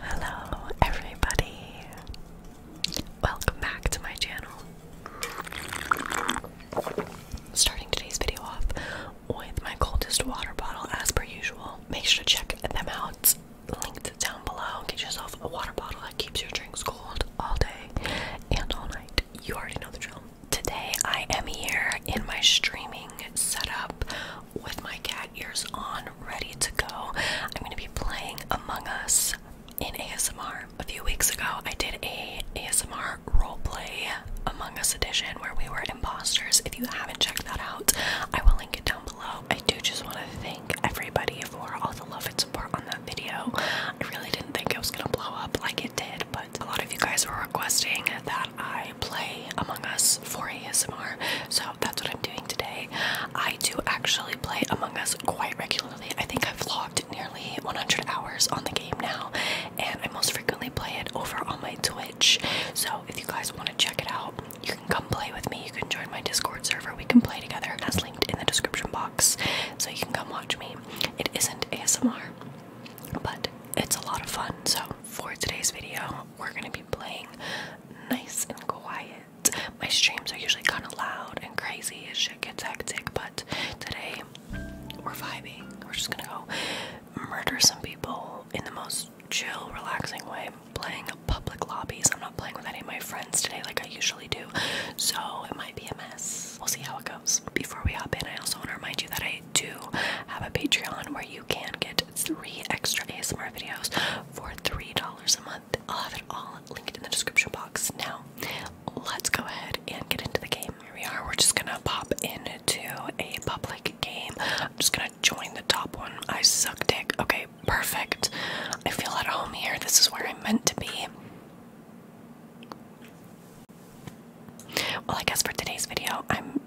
Hello, everybody. Welcome back to my channel. Starting today's video off with my coldest water bottle, as per usual. Make sure to check them out, linked down below. Get yourself a water bottle that keeps your drinks cold all day and all night. You already know the drill. Today, I am here in my streaming setup with my cat ears on, ready to go. I'm going to be playing Among Us in ASMR. A few weeks ago, I did a ASMR roleplay Among Us edition where we were imposters. If you haven't checked that out, I will link it down below. I do just want to thank everybody for all the love and support on that video. I really didn't think it was going to blow up like it did, but a lot of you guys were requesting that I play Among Us for ASMR, so that's what I'm doing today. I do actually play Among Us quite regularly. I think I've logged nearly 100 hours on the game now, and I most frequently play it over on my Twitch. So if you guys want to check it out, you can come play with me. You can join my Discord server. We can play together, as linked in the description box, so you can come watch me. It isn't ASMR, but it's a lot of fun. So for today's video, we're gonna be playing nice and quiet. My streams are usually kind of loud and crazy as shit gets hectic, but today we're vibing. We're just gonna go murder some people in the most chill, relaxing way. i playing public lobbies. I'm not playing with any of my friends today like I usually do, so it might be a mess. We'll see how it goes. Before we hop in, I also want to remind you that I do have a Patreon where you you can get three extra ASMR videos for $3 a month. I'll have it all linked in the description box. Now, let's go ahead and get into the game. Here we are. We're just gonna pop into a public game. I'm just gonna join the top one. I suck dick. Okay, perfect. I feel at home here. This is where I'm meant to be. Well, I guess for today's video, I'm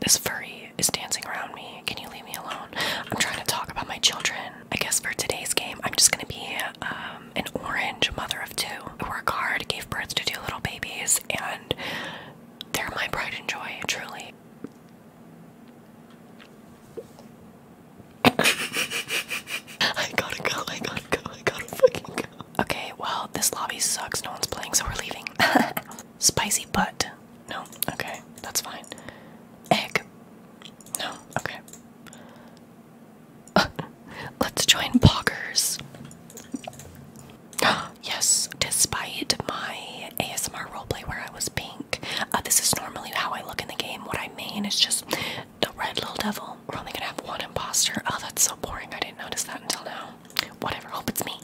this furry is dancing around me. Can you leave me alone? I'm trying to talk about my children. I guess for today's game, I'm just gonna be um, an orange mother of two. I work hard, gave birth to two little babies, and they're my pride and joy, truly. I gotta go, I gotta go, I gotta fucking go okay, well, this lobby sucks. No one's playing, so we're leaving. Spicy butt. No, okay, that's fine. Egg. No, okay. Let's join Poggers. yes, despite my ASMR roleplay where I was pink, uh, this is normally how I look in the game. What I mean is just the red little devil. We're only gonna have one imposter. Oh, that's so boring. I didn't notice that until now. Whatever, hope it's me.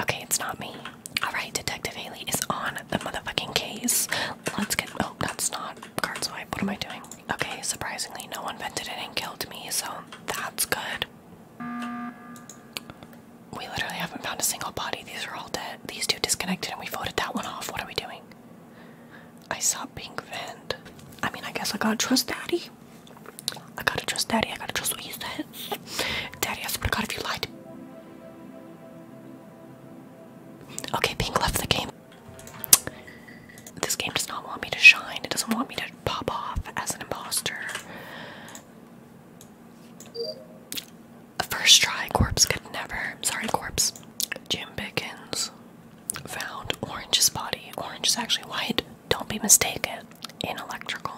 Okay, it's not me. Alright, Detective Haley is on the motherfucking case. Let's get. Oh, that's not card swipe. What am I doing? Okay, surprisingly, no one vented it and killed me, so that's good. We literally haven't found a single body. These are all dead. These two disconnected, and we voted that one off. What are we doing? I saw Pink Vent. I mean, I guess I gotta trust Daddy. I gotta trust daddy. I gotta trust what he says. Daddy, I swear to God, if you lied. Okay, Pink left the game. This game does not want me to shine. It doesn't want me to pop off as an imposter. First try, Corpse could never. Sorry, Corpse. Jim Pickens found Orange's body. Orange is actually white. Don't be mistaken. In electrical.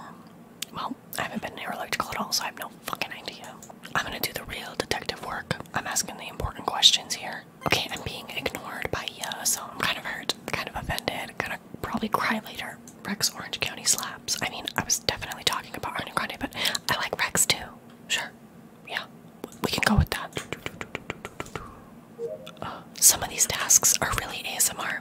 Well, I haven't been near electrical at all, so I have no fucking idea. I'm gonna do the real detective work. I'm asking the important questions here. Okay, I'm being ignored by Ya, uh, so I'm kind of hurt, kind of offended, gonna probably cry later. Rex Orange County slaps. I mean, I was definitely talking about Arne Grande, but I like Rex too. Sure. Yeah, we can go with that. Some of these tasks are really ASMR.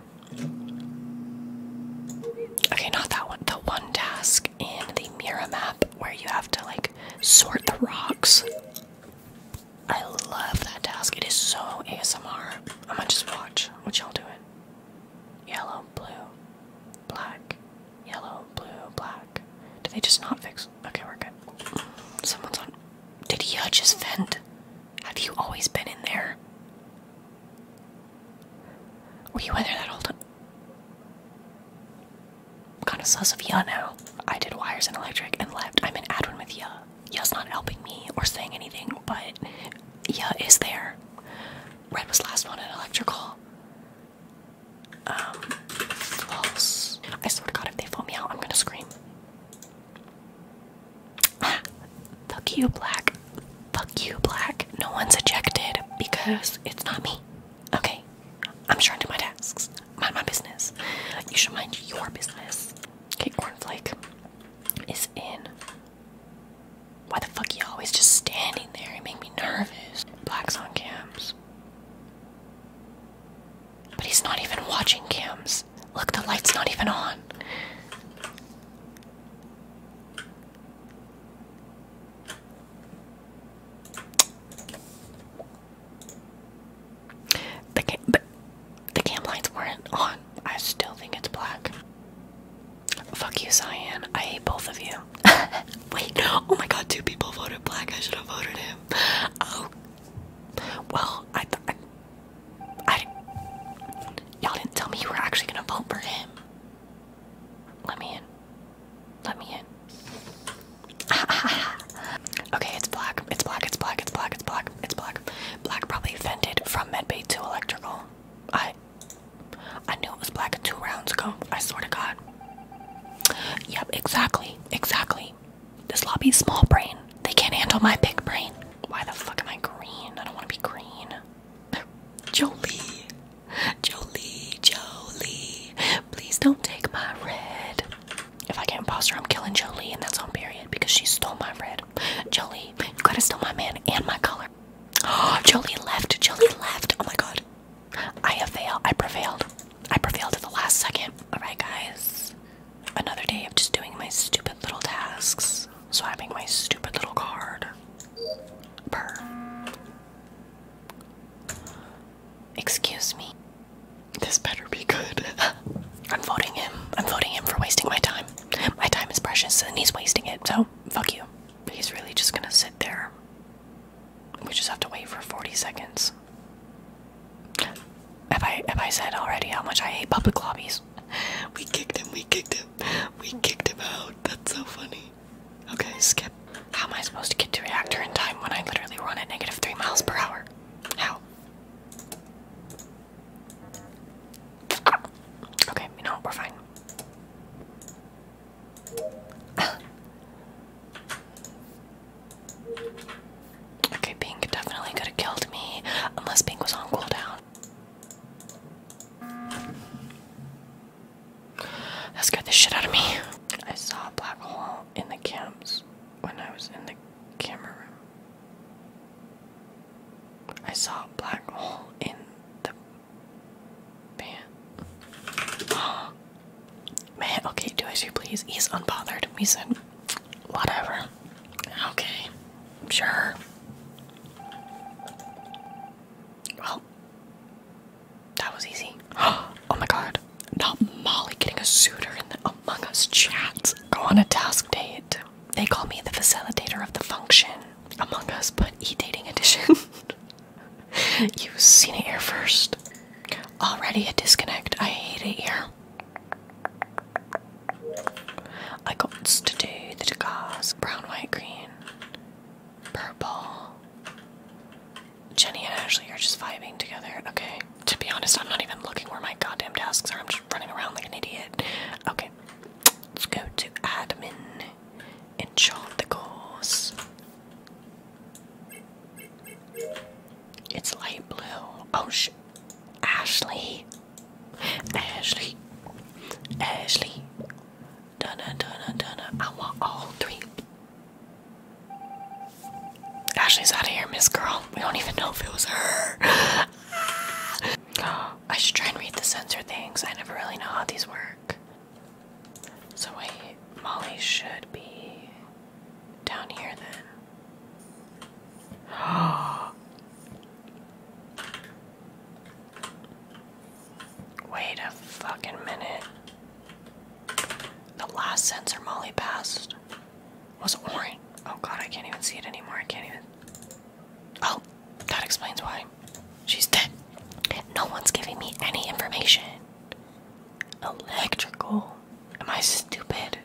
Okay, not that one. The one task in the mirror map where you have to like sort the rocks. I love that task. It is so ASMR. I'm gonna just watch what y'all doing. Yellow, blue, black, yellow, blue, black. Did they just not fix? Okay, we're good. Someone's on. Did he uh, just vent? Have you always been in there? Were you in there that whole time? I'm kinda sus of ya now. I did wires and electric and left. I'm in Adwin with ya. Ya's not helping me or saying anything, but ya is there. Red was last one in electrical. Um, false. I swear to God, if they phone me out, I'm gonna scream. Fuck you, Black. Fuck you, Black. No one's ejected because it's not me. Okay. I'm sure to my tasks. Mind my business. You should mind your business. Okay, cornflake is in. Why the fuck are you always just standing there? It makes me nervous. Black's on cams. But he's not even watching cams. Look, the light's not even on. The cam, the, the cam lights weren't on. I still think it's black. Fuck you, Cyan. I hate both of you. Wait, oh my god, two people voted black. I should have voted him. Oh well, I thought. I. Y'all didn't tell me you were actually gonna vote for him. Let me in. Let me in. okay, it's black. It's black. It's black. It's black. It's black. It's black. Black probably fended from medbay to electrical. I. I knew it was black two rounds ago. I swear to God. Yep, exactly. Exactly. This lobby's small brain. They can't handle my big brain. Why the fuck am I green? I don't want to be green. Jolie. Jolie, Jolie. Please don't take my red. If I can't imposter, I'm killing Jolie, and that's on period because she stole my red. Jolie, you gotta steal my man and my color. Jolie left. Jolie left. Oh my god. I have I prevailed. I prevailed at the last second. Alright, guys another day of just doing my stupid little tasks, swiping my stupid little card. Burr. Excuse me. This better be good. I'm voting him. I'm voting him for wasting my time. My time is precious and he's wasting it, so fuck you. He's really just gonna sit there. We just have to wait for 40 seconds. Have I have I said already how much I hate public lobbies? We kicked him, we kicked him, we kicked him out. That's so funny. Okay, skip. How am I supposed to get to reactor in time when I literally run at negative three miles per hour? How? Okay, you know, we're fine. Okay, Pink definitely could have killed me unless Pink was on cooldown. That scared the shit out of me. I saw a black hole in the camps when I was in the camera room. I saw a black hole in the pan. Oh, Man, okay, do as you please. He's unbothered. We said, whatever. Okay, sure. Well, that was easy. Oh my god. Not Molly getting a suitor in the Among Us chats. Go on a task date. They call me the facilitator of the function. Among Us, but e dating edition. You've seen it here first. Already a disconnect. I hate it here. I got to do the Degas, brown, white, green, purple. Jenny and Ashley are just vibing together. Okay. To be honest, I'm not even looking where my goddamn tasks are. I'm just running around like an idiot. Okay. Let's go to admin. and Enchant the course. It's light blue. Oh, sh Ashley. Ashley. Ashley. Dunna, dunna, dunna. I want all three. Ashley's out of here, Miss Girl. We don't even know if it was her. I should try and read the sensor things. I never really know how these work. So, wait, Molly should be down here then. Wait a fucking minute. The last sensor Molly passed was orange. Oh god, I can't even see it anymore. I can't even. Oh, that explains why. She's dead. No one's giving me any information. Electrical? Am I stupid?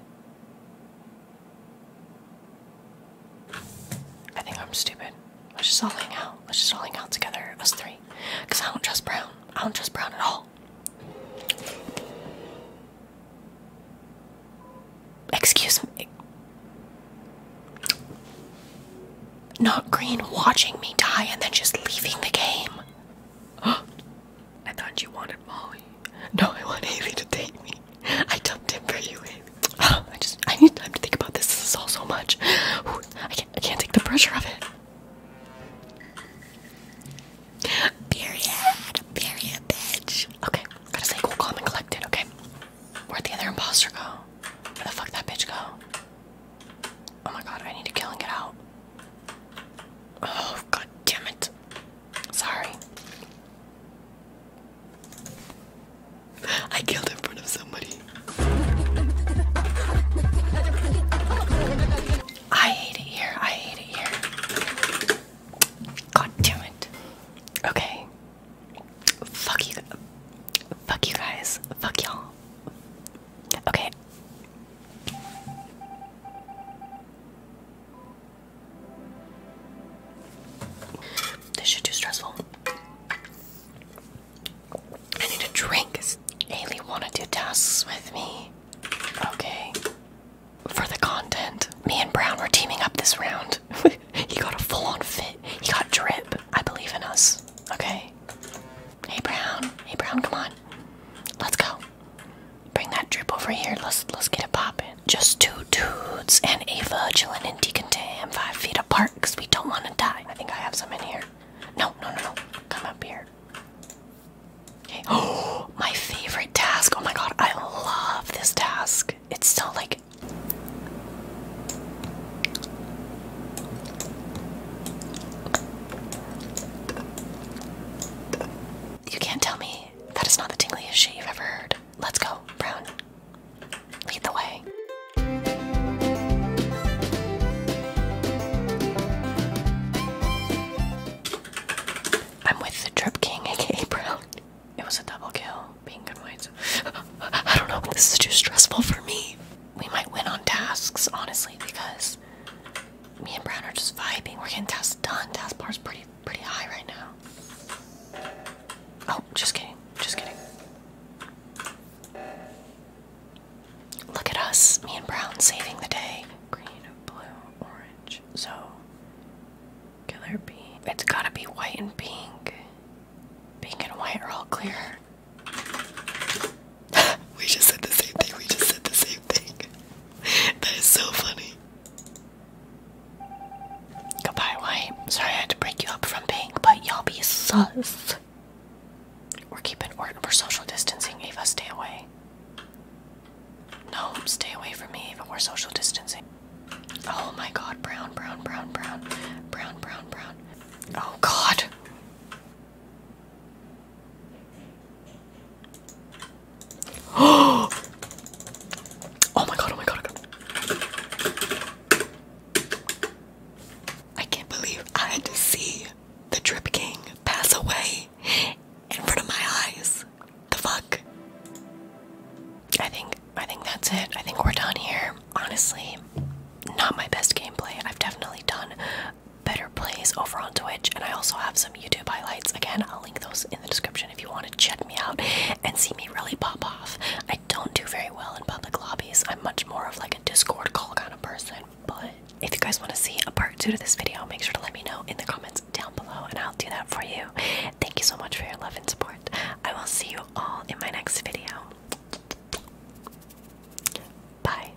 I think I'm stupid. Let's just all hang out. Let's just all hang out together, us three. Because I don't trust Brown. I don't trust Brown at all. Excuse me. Not Green watching me die and then just leaving the game. I thought you wanted Molly. No, I want Haley to take me. I dumped him for you, Haley. Oh, I just I need time to think about this. This is all so much. I can't I can't take the pressure of it. Period. Period, bitch. Okay, gotta stay cool, calm, and collected, okay? Where'd the other imposter go? Where the fuck that bitch go? Oh my god, I need to kill and get out. Oh, god damn it. Sorry. I killed in front of somebody. I hate it here. I hate it here. God damn it. Okay. Fuck you. Fuck you guys. Fuck y'all. Okay. This shit too stressful. I need a drink. Haley wanna do tasks with me. Okay. For the content. Me and Brown were teaming up this round. he got a full-on fit. He got drip. I believe in us. Okay. Hey Brown. Hey Brown, come on. Let's go. Bring that drip over here. Let's let's get it popping. Just two dudes and a virgil and Deacon decontam five feet apart because we don't want to die. I think I have some in here. No, no, no, no. Come up here. Okay. Oh, my favorite task. Oh my god, I love this task. It's so like. You can't tell me that is not the tinglyest shit you've ever heard. Let's go, Brown. Lead the way. I'm with the Drip King, aka Brown. It was a double kill, being good whites. I don't know, this is too stressful for me. We might win on tasks, honestly, because me and Brown are just vibing. We're getting tasks done. Task is pretty pretty high right now. Oh, just kidding. Just kidding. Look at us, me and Brown saving the day. Green, blue, orange. So killer bee. It's gotta be white and pink. Pink and white are all clear. we just said the same thing. We just said the same thing. that is so funny. Goodbye, Why? Sorry I had to break you up from Pink, but y'all be sus. We're keeping we're social distancing, Ava. Stay away. No, stay away from me, Ava. We're social distancing. Oh my god, brown, brown, brown, brown. Brown, brown, brown. Oh god. oh oh my god, oh my god. I can't believe I had to see the Drip King pass away in front of my eyes. The fuck? I think I think that's it. I think we're done here. Honestly, not my best gameplay. I've definitely done better plays over on Twitch, and I also have some YouTube highlights. Again, I'll link those in the description if you want to check me out and see me really pop off. I don't do very well in public lobbies. I'm much more of like a Discord call kind of person. But if you guys want to see a part two to this video, make sure to let me know in the comments down below, and I'll do that for you. Thank you so much for your love and support. I will see you all in my next video. Bye.